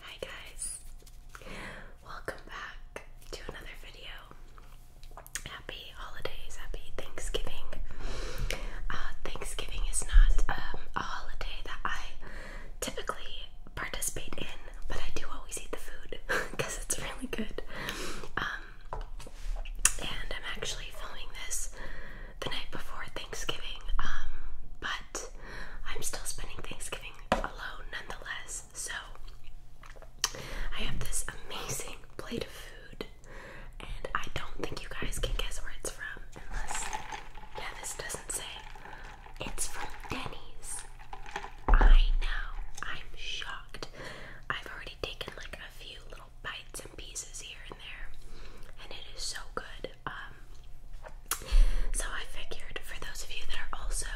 Hi guys, welcome back to another video. Happy holidays, happy Thanksgiving. Uh, Thanksgiving is not um, a holiday that I typically participate in, but I do always eat the food because it's really good. Um, and I'm actually filming this the night before Thanksgiving, um, but I'm still spending Thanksgiving alone nonetheless. So I have this amazing plate of food, and I don't think you guys can guess where it's from unless, yeah, this doesn't say. It's from Denny's. I know, I'm shocked. I've already taken like a few little bites and pieces here and there, and it is so good. Um, so I figured for those of you that are also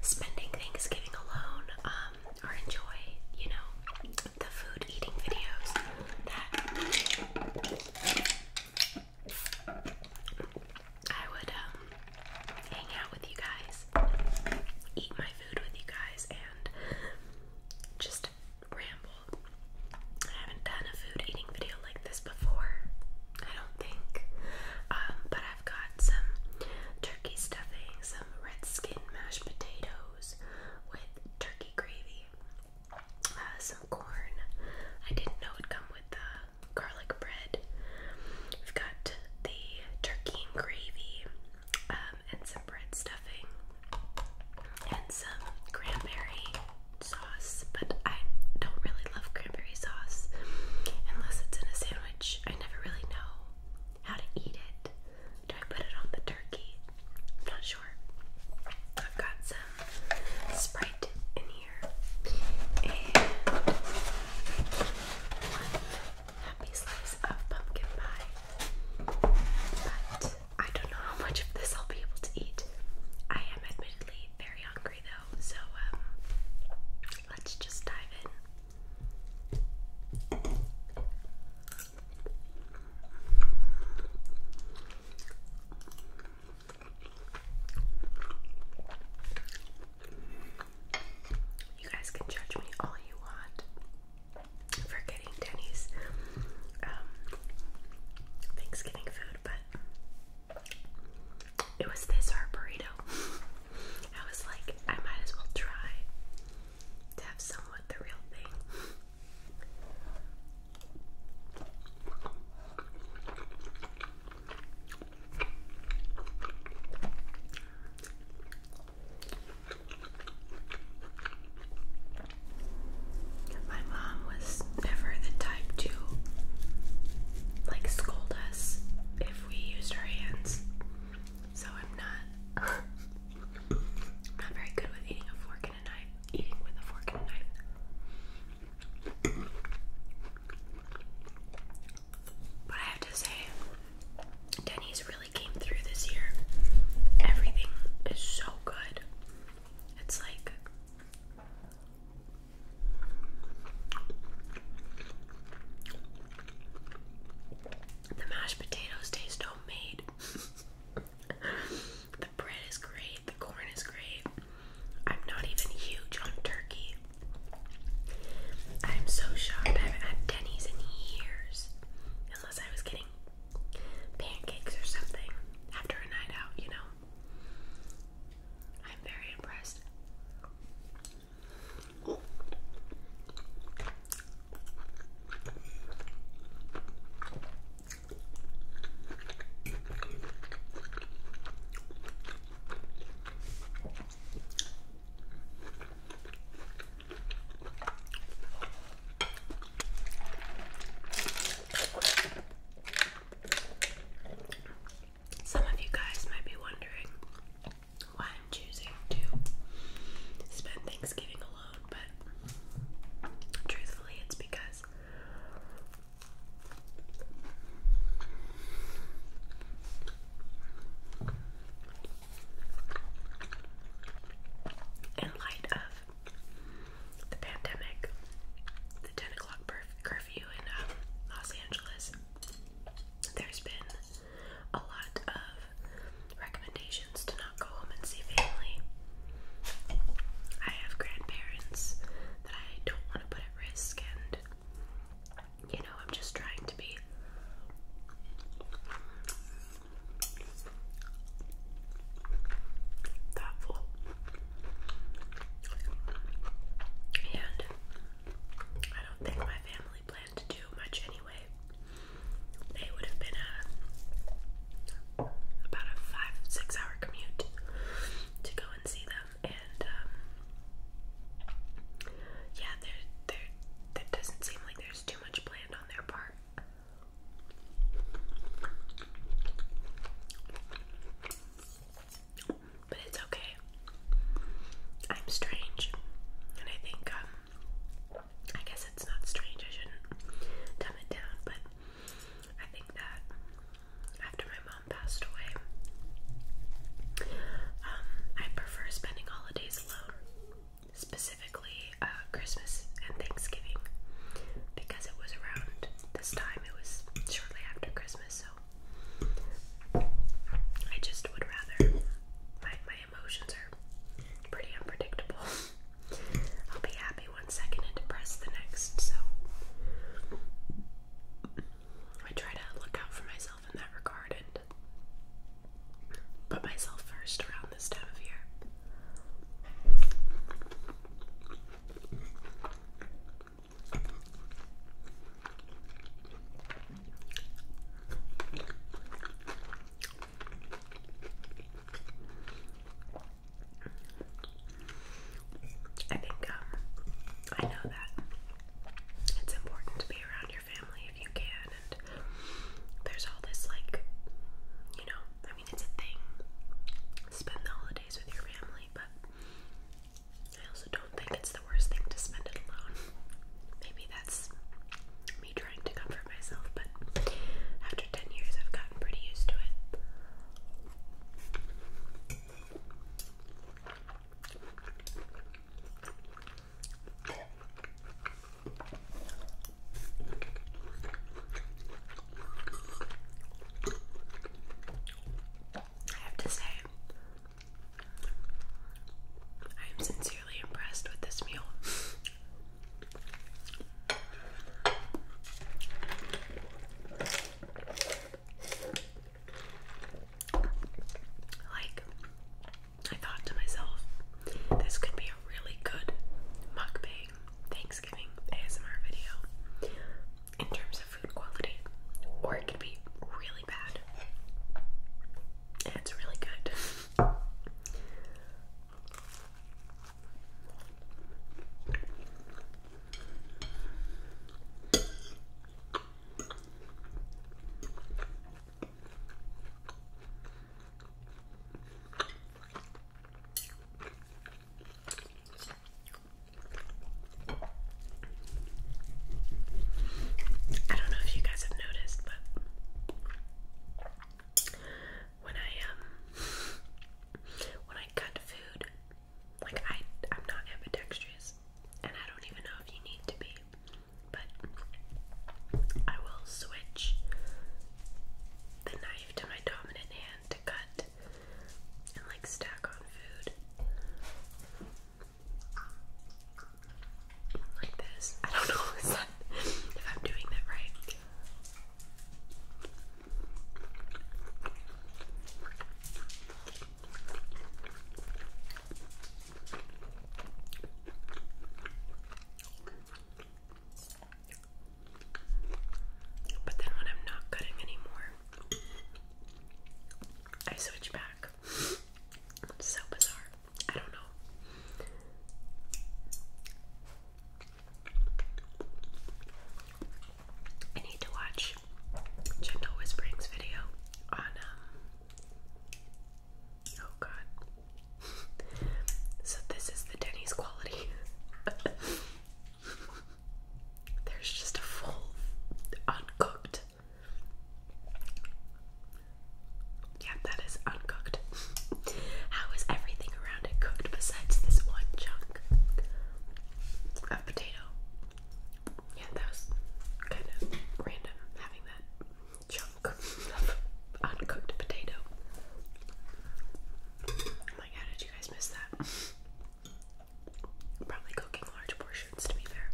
spending Thanksgiving alone, um, or enjoy, you know, the food eating videos that I would um, hang out with you guys, eat my food with you guys, and just ramble. I haven't done a food eating video like this before, I don't think. Um, but I've got some turkey stuffing, some red skin mashed potatoes with turkey gravy, uh, some corn. I didn't know it'd come with the garlic bread. We've got the turkey and gravy um, and some bread stuffing and some cranberry sauce, but I don't really love cranberry sauce unless it's in a sandwich. I never really know how to eat it. Do I put it on the turkey? I'm not sure. I've got some Sprite in here one happy slice of pumpkin pie. But I don't know how much of this I'll be able to eat. I am admittedly very hungry though, so um, let's just dive in. You guys can judge me all you want for getting Denny's um, Thanksgiving food, but it was this or burrito. I was like, I might as well try to have somewhat the real thing. My mom was never the type to like scold us if we used our hands. So I'm not not very good with eating a fork and a knife. Eating with a fork and a knife. But I have to say, Denny's really came through this year. Everything is so good. It's like the mashed potatoes taste homemade. the bread is great, the corn is great. I'm not even huge on turkey. I'm so shocked. I haven't had Denny's in years. Unless I was getting pancakes or something after a night out, you know. I'm very impressed. Some of you guys might be wondering why I'm choosing to spend Thanksgiving alone, but truthfully, it's because in light of the pandemic, the 10 o'clock curfew in um, Los Angeles, there's been a lot of recommendations to not go home and see family. I have grandparents that I don't want to put at risk, and you know, I'm just trying to be thoughtful and I don't think my family planned to do much anyway. It would have been a about a five six hour commute to go and see them and um, yeah, there, there, that doesn't seem like there's too much planned on their part. But it's okay. I'm strange, and I think um, I guess it's not strange. I shouldn't dumb it down, but I think that after my mom passed away. Um, I prefer spending holidays alone, specifically uh, Christmas and Thanksgiving, because it was around this time, it was shortly after Christmas, so I just would rather. My, my emotions are pretty unpredictable. I'll be happy one second and depressed the next, so. I try to look out for myself in that regard and put myself first around this time of year. I think um, I know that it's important to be around your family if you can, and there's all this like, you know, I mean it's a thing. Spend the holidays with your family, but I also don't think it's the worst thing to spend it alone. Maybe that's me trying to comfort myself, but after 10 years, I've gotten pretty used to it. I have to say, I am sincerely impressed with this meal. Like, I thought to myself, this could be a really good mukbang Thanksgiving ASMR video in terms of food quality, or it could be really bad. it's really good. I don't know if you guys have noticed, but when I um when I cut food, like I I'm not ambidextrous and I don't even know if you need to be but I will switch the knife to my dominant hand to cut and like stack on food like this. I don't know if I'm doing that right. But then when I'm not cutting anymore, I switch back. so bizarre. I don't know. I need to watch Gentle Whispering's video on, um, oh god. so, this is the Denny's quality. There's just a full, uncooked. Yeah, that is uncooked. How is everything around it cooked besides this one chunk? a potato. Yeah, that was kind of random having that chunk of uncooked potato. Oh my god, did you guys miss that? Probably cooking large portions, to be fair.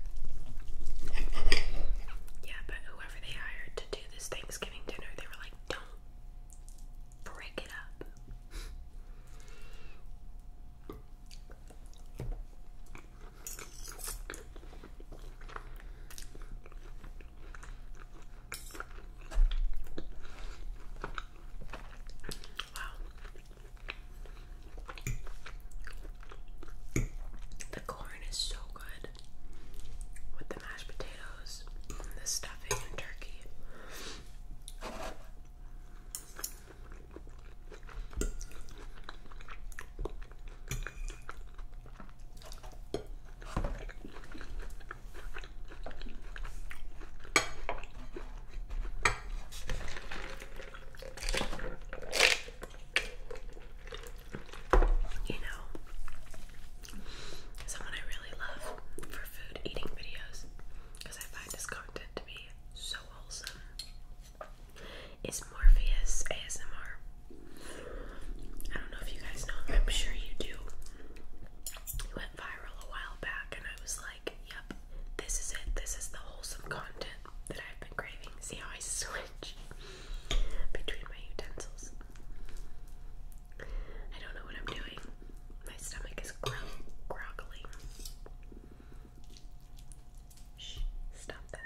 Yeah, but whoever they hired to do this Thanksgiving dinner, they were like, don't brick it up. Wow. The corn is so good with the mashed potatoes the stuffing and turkey. You know, someone I really love for food eating videos because I find this content to be so wholesome, is Morpheus ASMR. I don't know if you guys know, I'm sure you do. It went viral a while back, and I was like, yep, this is it. This is the wholesome content that I've been craving. See how I switch between my utensils? I don't know what I'm doing. My stomach is gro Shh, stop that.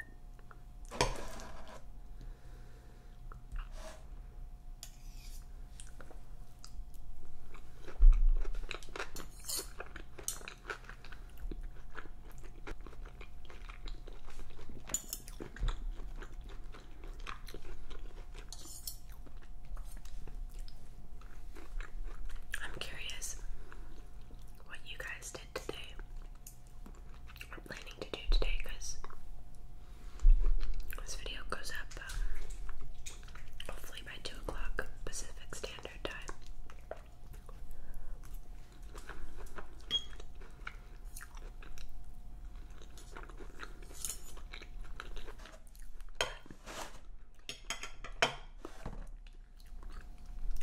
I'm curious what you guys did today or planning to do today because this video goes up um, hopefully by 2 o'clock Pacific Standard Time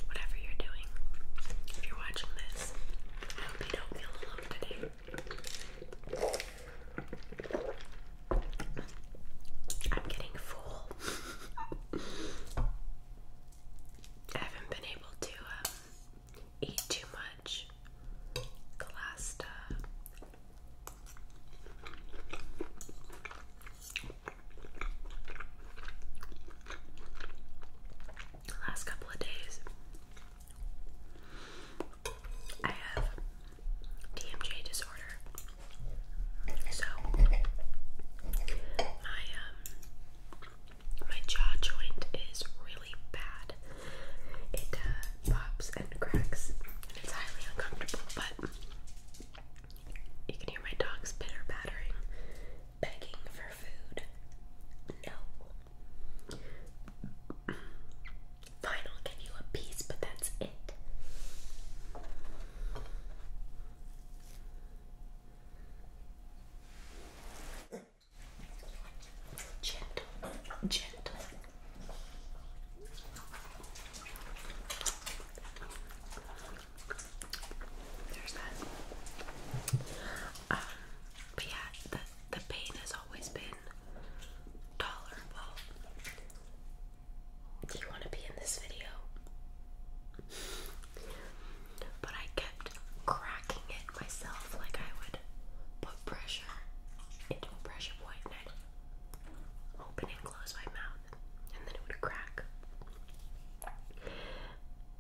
whatever you're doing, if you're watching this, I hope you don't feel alone today. I'm getting full. I haven't been able to um, eat too much the last uh, last couple of days, I have TMJ disorder. So my um, my jaw joint is really bad. It uh, pops and cracks, and it's highly uncomfortable, but you can hear my dog's bitter battering, begging for food. No. Fine, give you a piece, but that's it. Gentle, gentle. There's that. Um, but yeah, the the pain has always been tolerable. Do you want to be in this video? But I kept cracking it myself, like I would put pressure into pressure point and open and close my mouth and then it would crack.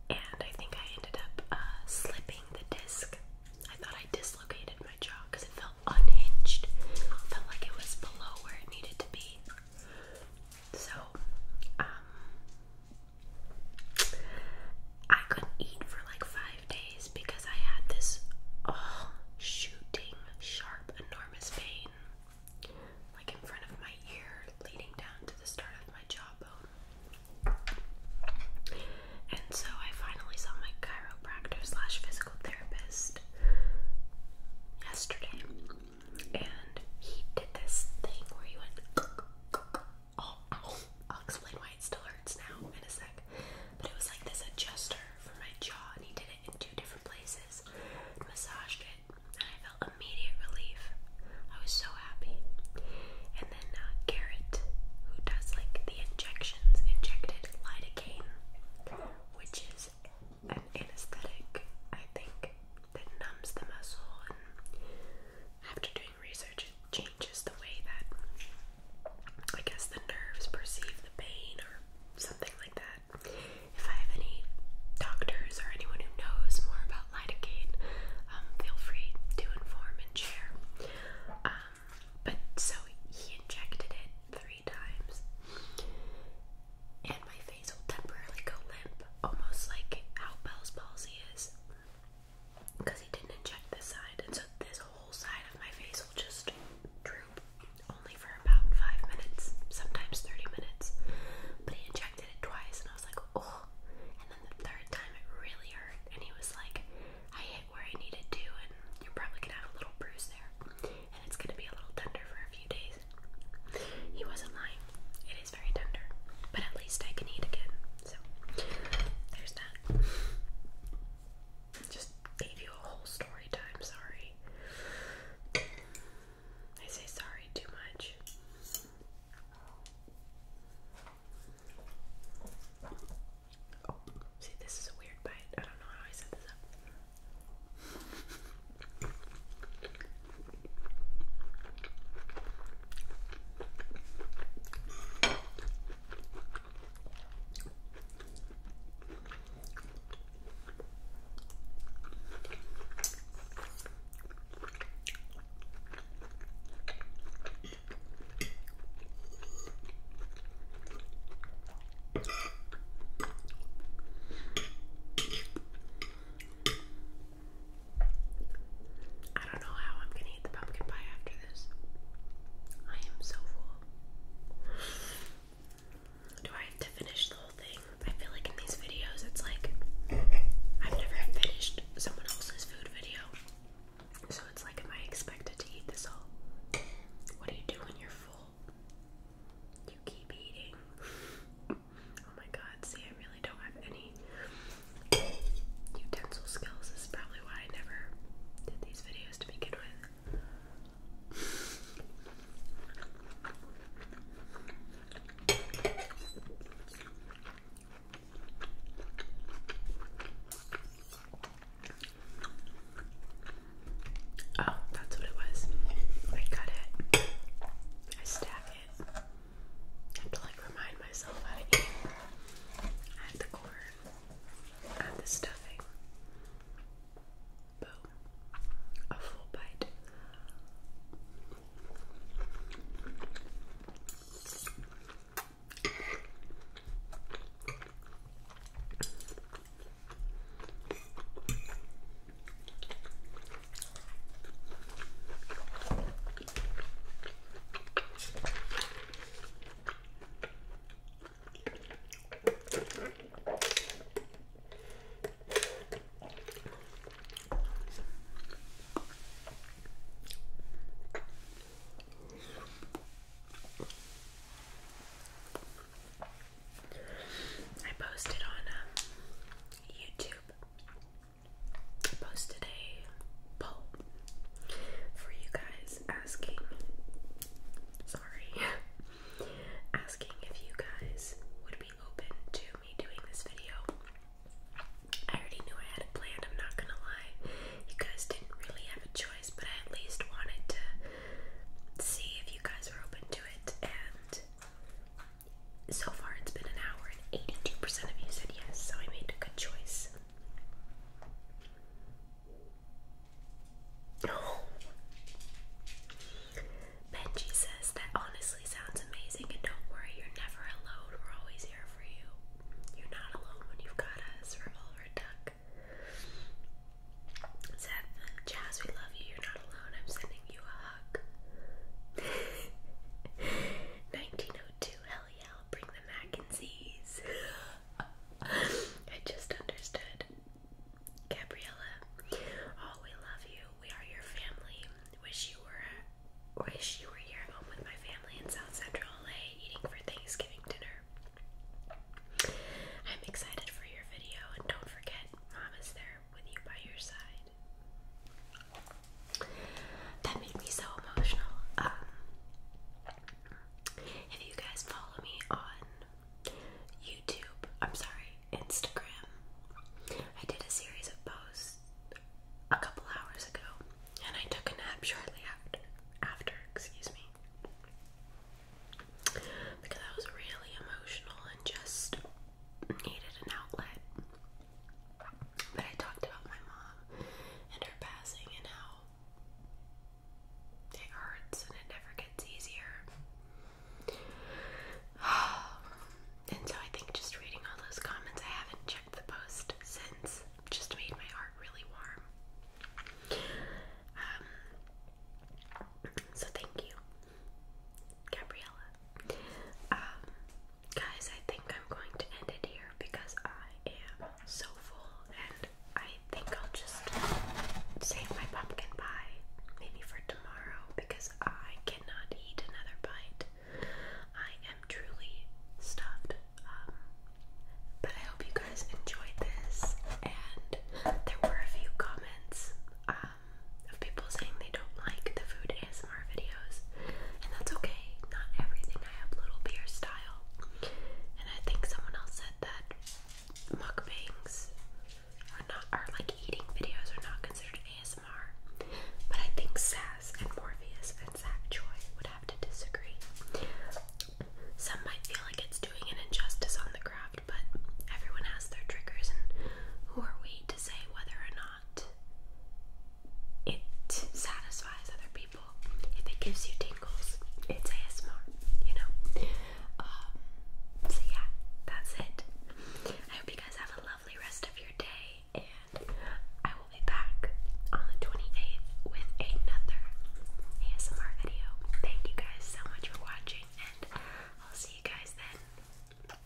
And I think I ended up uh, slipping the disc. I thought I dislocated my jaw because it felt unhinged. felt like it was below where it needed to be. So, um, I couldn't eat for like five days because I had this oh, shooting, sharp, enormous pain like in front of my ear leading down to the start of my jawbone. And so I finally saw my chiropractor slash physical therapist yesterday. And he did this thing where he went, oh, I'll explain why it still hurts now in a sec. But it was like this adjuster for my jaw, and he did it in two different places, massaged it, and I felt immediate relief. I was so happy. And then uh, Garrett, who does like the injections, injected lidocaine, which is an anesthetic, I think, that numbs the muscle. And after doing research, it changes the way that I guess the nerves perceive the pain or something like that. If I have any doctors or anyone who knows more about lidocaine, um, feel free to inform and share. Um, but so he injected it three times, and my face will temporarily go limp, almost like how Bell's palsy is because he didn't inject this side, and so this whole side of my face will just droop only for about five minutes, sometimes 30 minutes. But he injected it twice, and I was like, oh. And then the third time it really hurt, and he was like, I hit where I needed to, and you're probably gonna have a little bruise there, and it's gonna be a little tender for a few days. He wasn't lying, it is very tender, but at least I can eat again. So there's that. Just gave you a whole story time, sorry. I say sorry too much. see, this is a weird bite. I don't know how I set this up. I don't know how I'm gonna eat the pumpkin pie after this. I am so full. Do I have to finish the whole thing? I feel like in these videos it's like I've never finished someone else's food video. So it's like, am I expected to eat this all? What do you do when you're full? You keep eating. oh my god, see, I really don't have any utensil skills is probably why I never did these videos to begin with. Oh, that's what it was. I cut it. I stack it. I have like remind myself how Add the corn. Add the stuffing. Boom. A full bite. I posted on um, YouTube posted a poll for you guys asking sorry asking if you guys would be open to me doing this video. I already knew I had a plan. I'm not gonna lie. You guys didn't really have a choice, but I at least wanted to see if you guys were open to it and so far, it's been an hour, and 82% of you said yes, so I made a good choice. Benji says that honestly sounds amazing, and don't worry, you're never alone. We're always here for you. You're not alone when you've got us, Revolver Duck. Seth, Jazz, we love you. You're not alone. I'm sending you a hug. 1902. Hello, Oh, i bring the Mackenzies. I just understood. Gabriella, oh, we love you. We are your family. Wish you were wish you were here at home with my family in South Central LA eating for Thanksgiving dinner. I'm excited for your video and don't forget Mama's there with you by your side. That made me so emotional. Um, if you guys follow me on YouTube, I'm sorry, Instagram, I did a series of posts a couple hours ago, and I took a nap shortly after. After, excuse me, because I was really emotional and just needed an outlet. But I talked about my mom and her passing and how it hurts and it never gets easier. and so I think just reading all those comments, I haven't checked the post since, just made my heart really warm. Um, so thank you, Gabriella. Um, Guys, I think I'm going to end it here because I am so full and I think I'll just save my pumpkin pie maybe for tomorrow because I cannot eat another bite. I am truly stuffed. Um, but I hope you guys enjoyed this and there were a few comments um, of people saying they don't like the food ASMR videos, and that's okay. Not everything I upload will be your style. And I think someone else said that mukbangs are not are like eating videos are not considered ASMR. But I think Sass and Morpheus and Zach Joy would have to disagree. Some might feel like it's doing an injustice on the craft, but everyone has their triggers, and who are we to say whether or not? it satisfies other people. If it gives you tingles, it's ASMR, you know? Um, so, yeah, that's it. I hope you guys have a lovely rest of your day, and I will be back on the 28th with another ASMR video. Thank you guys so much for watching, and I'll see you guys then. Bye.